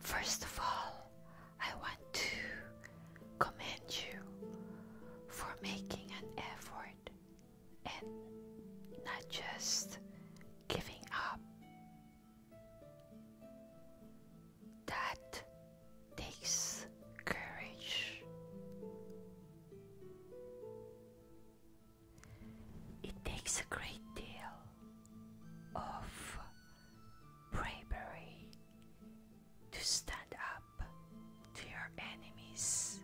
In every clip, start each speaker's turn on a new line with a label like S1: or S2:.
S1: First of all, I want to commend you for making an effort and not just giving up. That takes courage. It takes a great deal of bravery to stand up to your enemies,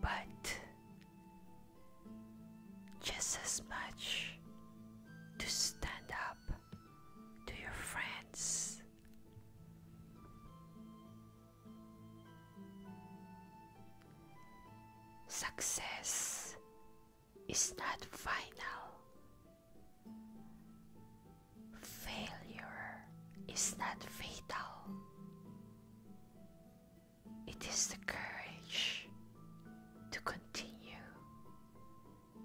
S1: but just as much to stand up to your friends. Success is not final. Failure is not fatal. It is the courage to continue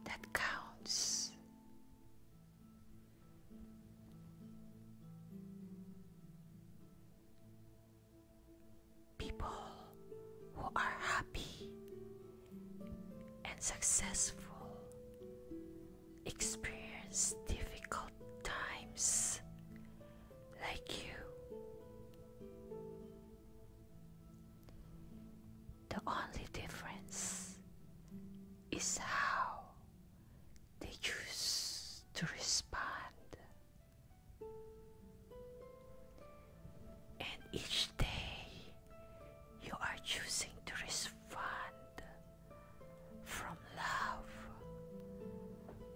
S1: that counts. People who are happy and successful experience difficult times like you. The only difference is how they choose to respond. And each day you are choosing to respond from love,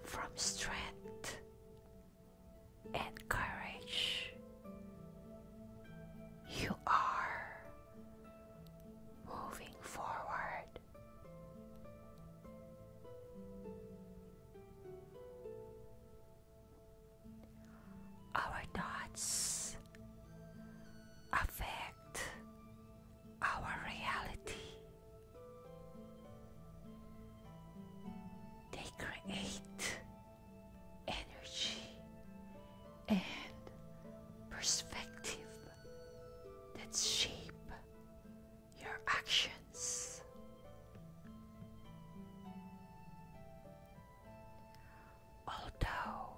S1: from strength, and courage. You are moving forward. Our thoughts affect our reality. They create energy and perspective that shape your actions. Although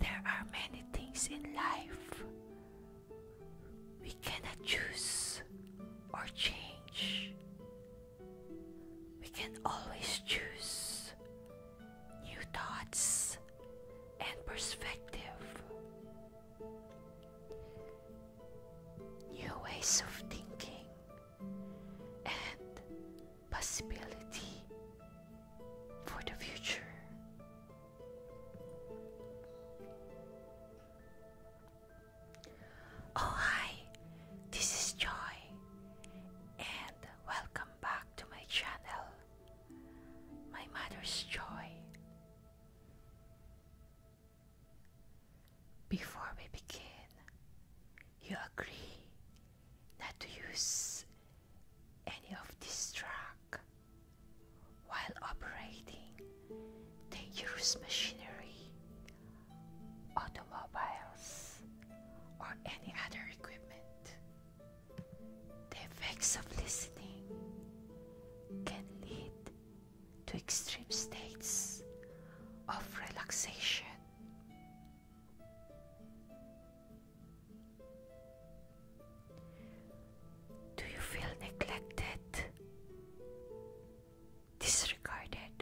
S1: there are many things in life we cannot choose or change. We can always choose new thoughts and perspective, new ways of thinking and possibility for the future. Oh, hi, this is Joy, and welcome back to my channel, My Mother's Joy. Before we begin, you agree not to use any of this track while operating dangerous machinery, automobiles, or any other equipment. The effects of listening can lead to extreme states of relaxation. Do you feel neglected? Disregarded?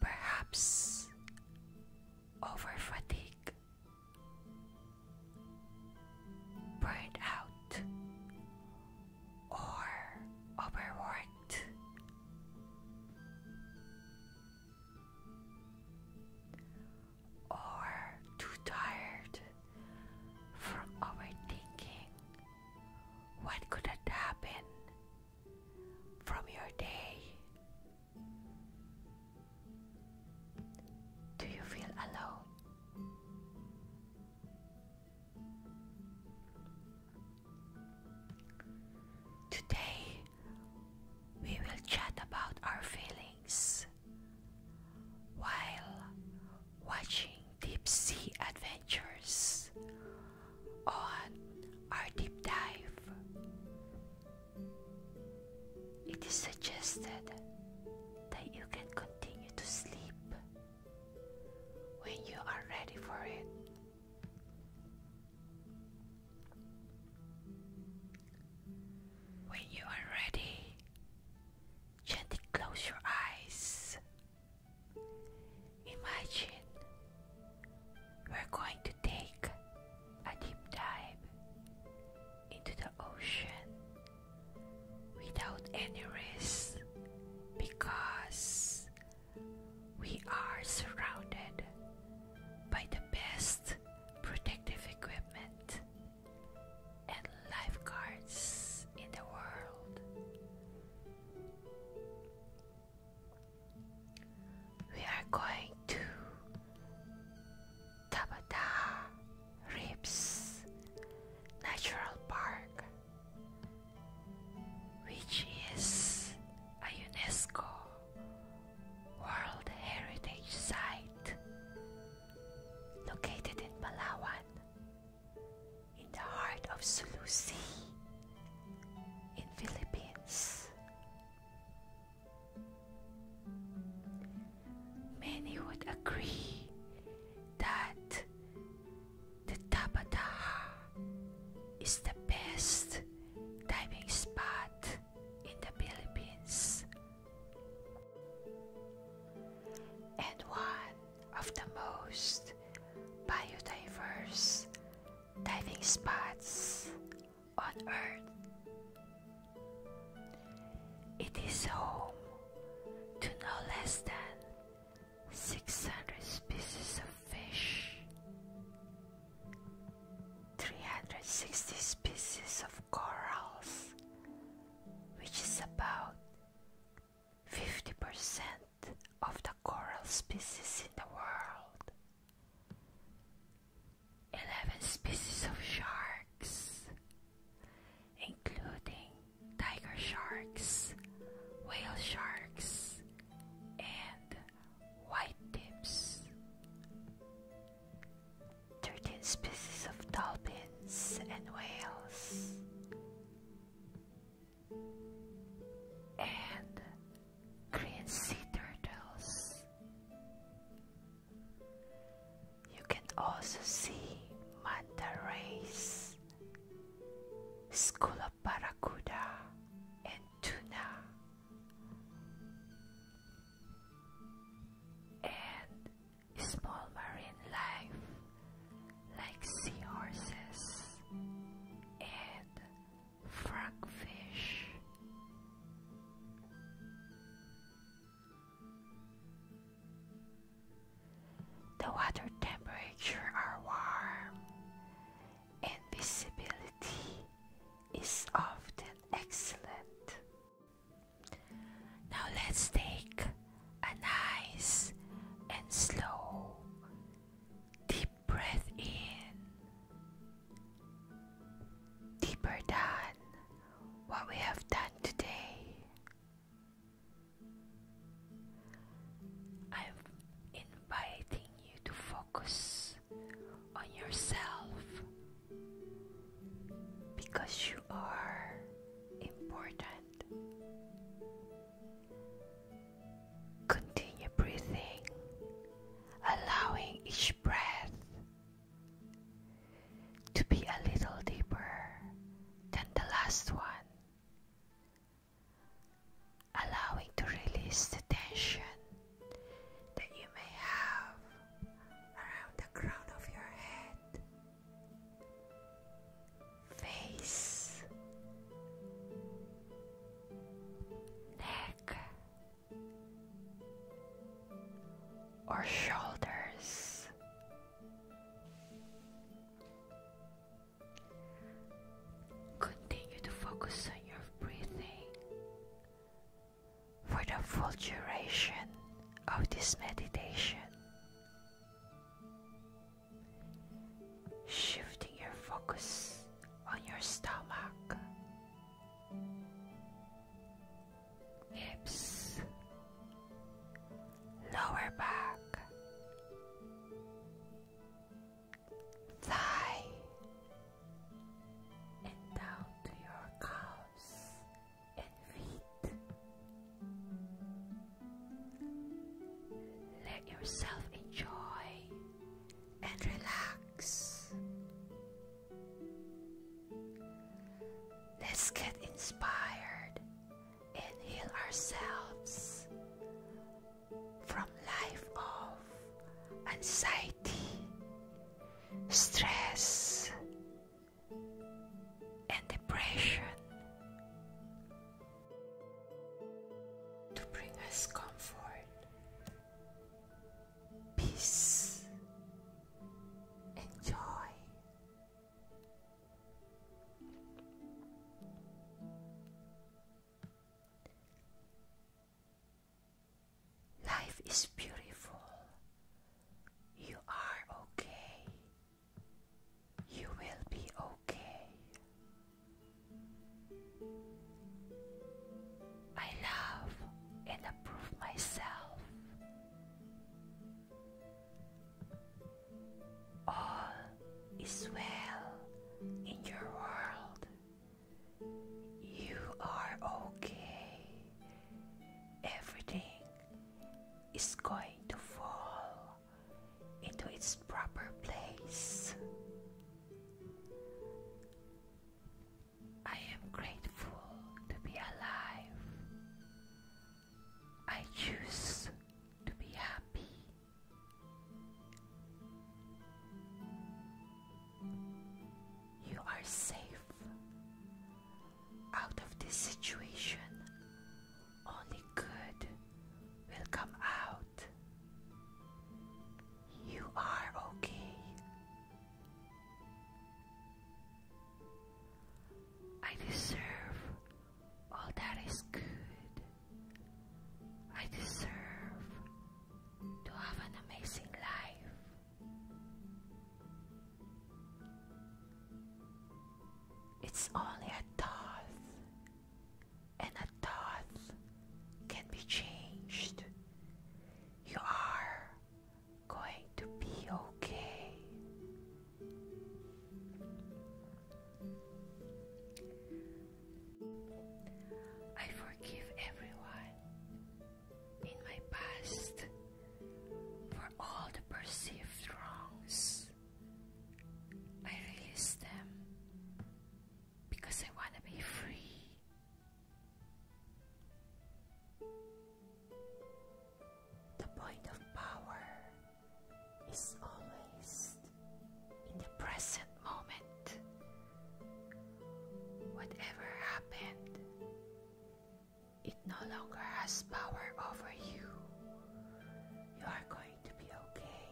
S1: Perhaps over fatigue? out or overworked? or too tired from overthinking what could have happened from your day. Do you feel alone? Today, we will chat about our feelings while watching deep sea adventures on our deep dive. It is suggested that you can continue to sleep when you are ready for it. When you are ready, gently close your eyes. Imagine we're going to take a deep dive into the ocean without any risk because we are surrounded by the best protective equipment and lifeguards in the world. We are going to Tabata Rips Natural Park, which is a UNESCO World Heritage Site located in Palawan, in the heart of Sulu Sea, in Philippines. Many would agree that the Tabataha is the best diving spot in the Philippines and one of the most biodiverse diving spots on Earth. It is home to no less than 600 species of fish. 360 species of corals, which is about 50% of the coral species in the world. 11 species of sharks, including tiger sharks, whale sharks, and white tips. 13 species of dolphins and whales, and green sea turtles. You can also see manta rays, school of barracuda, and tuna and small marine life like seahorses and frogfish. The water temperature are warm and visibility is often excellent. Now let's take a nice and slow deep breath in, deeper than what we have done today. I'm inviting you to focus on yourself because you are important. Continue breathing, allowing each breath to be a little deeper than the last one. Allowing to release the tension that you may have around the crown of your head, face, neck, or shoulders. Continue to focus on your breathing for the full duration of this meditation. Shifting your focus on your stomach, hips, lower back, thigh, and down to your calves and feet. Let yourself enjoy and relax. Let's get inspired and heal ourselves from life of anxiety stress and depression. To bring us comfort, peace, and joy. Life is beautiful. You are okay. You will be okay. I love and approve myself. All is well in your world. You are okay. Everything is going to fall into its proper place. I am grateful to be alive. I choose to be happy. You are safe out of this situation. Only good will come out. You are okay. I deserve all that is good. I deserve to have an amazing life. It's only a thought, and a thought can be changed. You are going to be okay. I forgive everyone in my past for all the perceived wrongs. I release them because I want to be free. The point of power is always in the present moment Whatever happened, it no longer has power over you. You are going to be okay.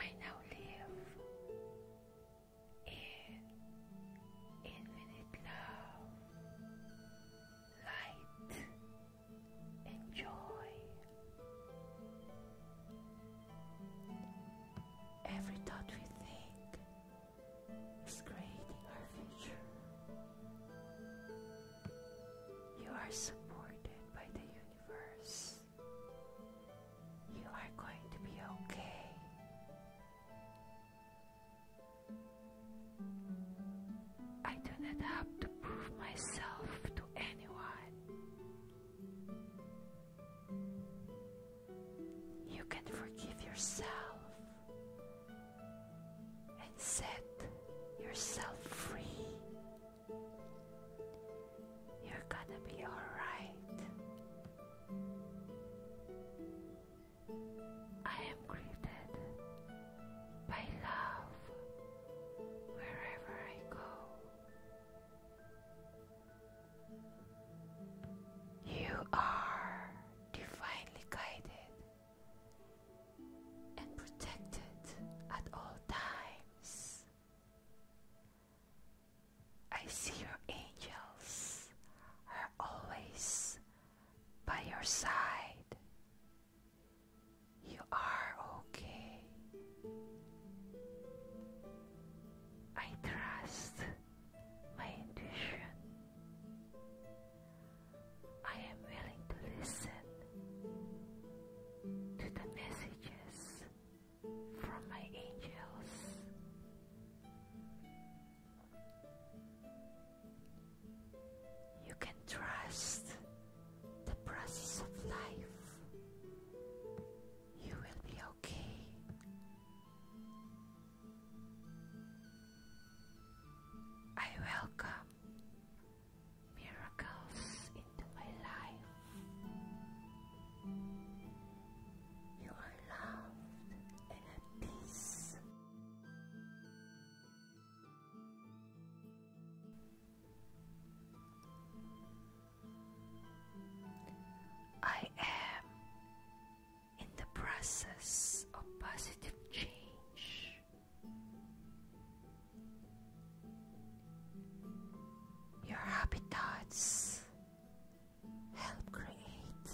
S1: I now live in infinite love light, and Every thought we think is creating our future. You are supported by the universe. You are going to be okay. I do not have to prove myself to anyone. You can forgive yourself and set yourself free. You're gonna be alright. I am greeted by love wherever I go. You are divinely guided and protected at all times. I see your angels are always by your side. You are okay. I trust my intuition. I am willing to listen to the messages from my angels. You can trust the process of life. You will be okay. I welcome miracles into my life. You are loved and at peace. I am in the process of positive change. Your habits help create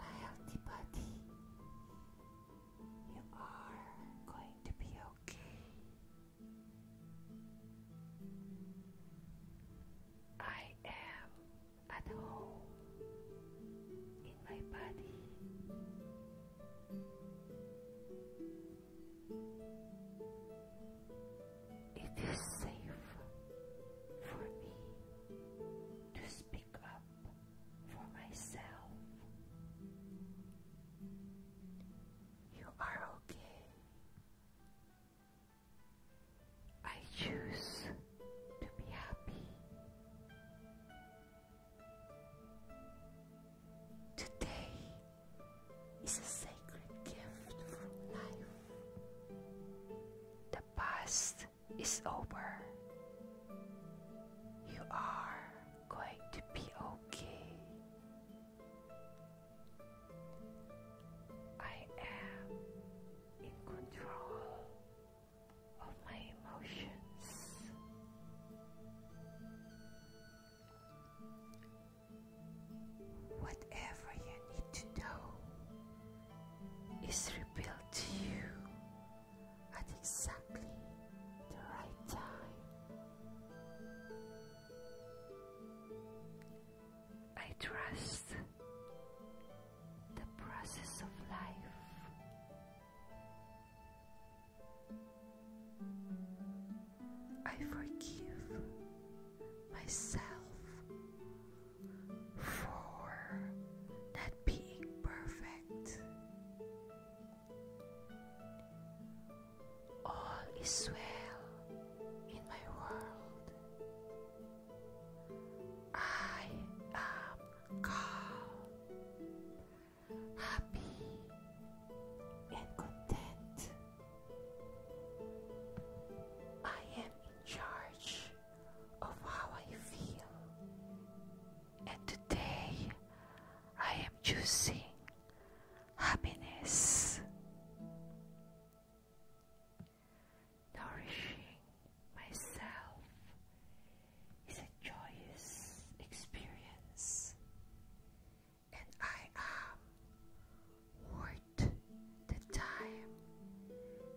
S1: a healthy body you are going to be okay. I am at home in my body. It is safe for me to speak up for myself. You are okay. I choose to be happy. Today is a sacred gift from life. The past it's over. You are going to be okay. I am in control of my emotions. Whatever you need to know is revealed to you at exactly the right time. I trust the process of life. I forgive myself for not being perfect. All is well in my world. I am calm, happy, and content. I am in charge of how I feel. And today I am choosing happiness, nourishing myself is a joyous experience, and I am worth the time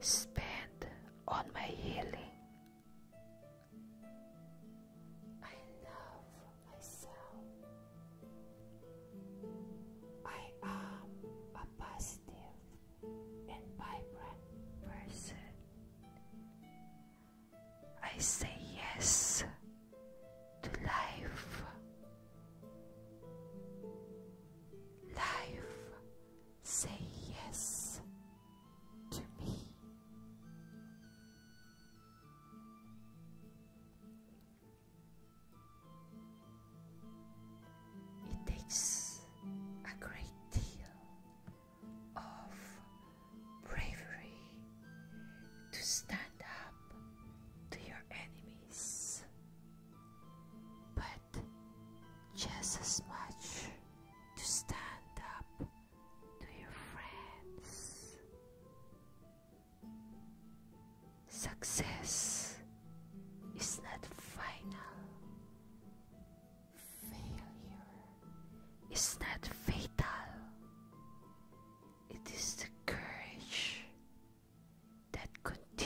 S1: spent on my healing. I love myself. I am a positive and vibrant person. I say yes to life. Life Say yes to me. It takes a great deal of bravery to stand up to your enemies, but just as much to stand up to your friends. Success is not final. Failure is not fatal. It is the courage that continues.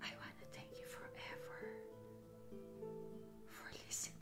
S1: I want to thank you forever for listening.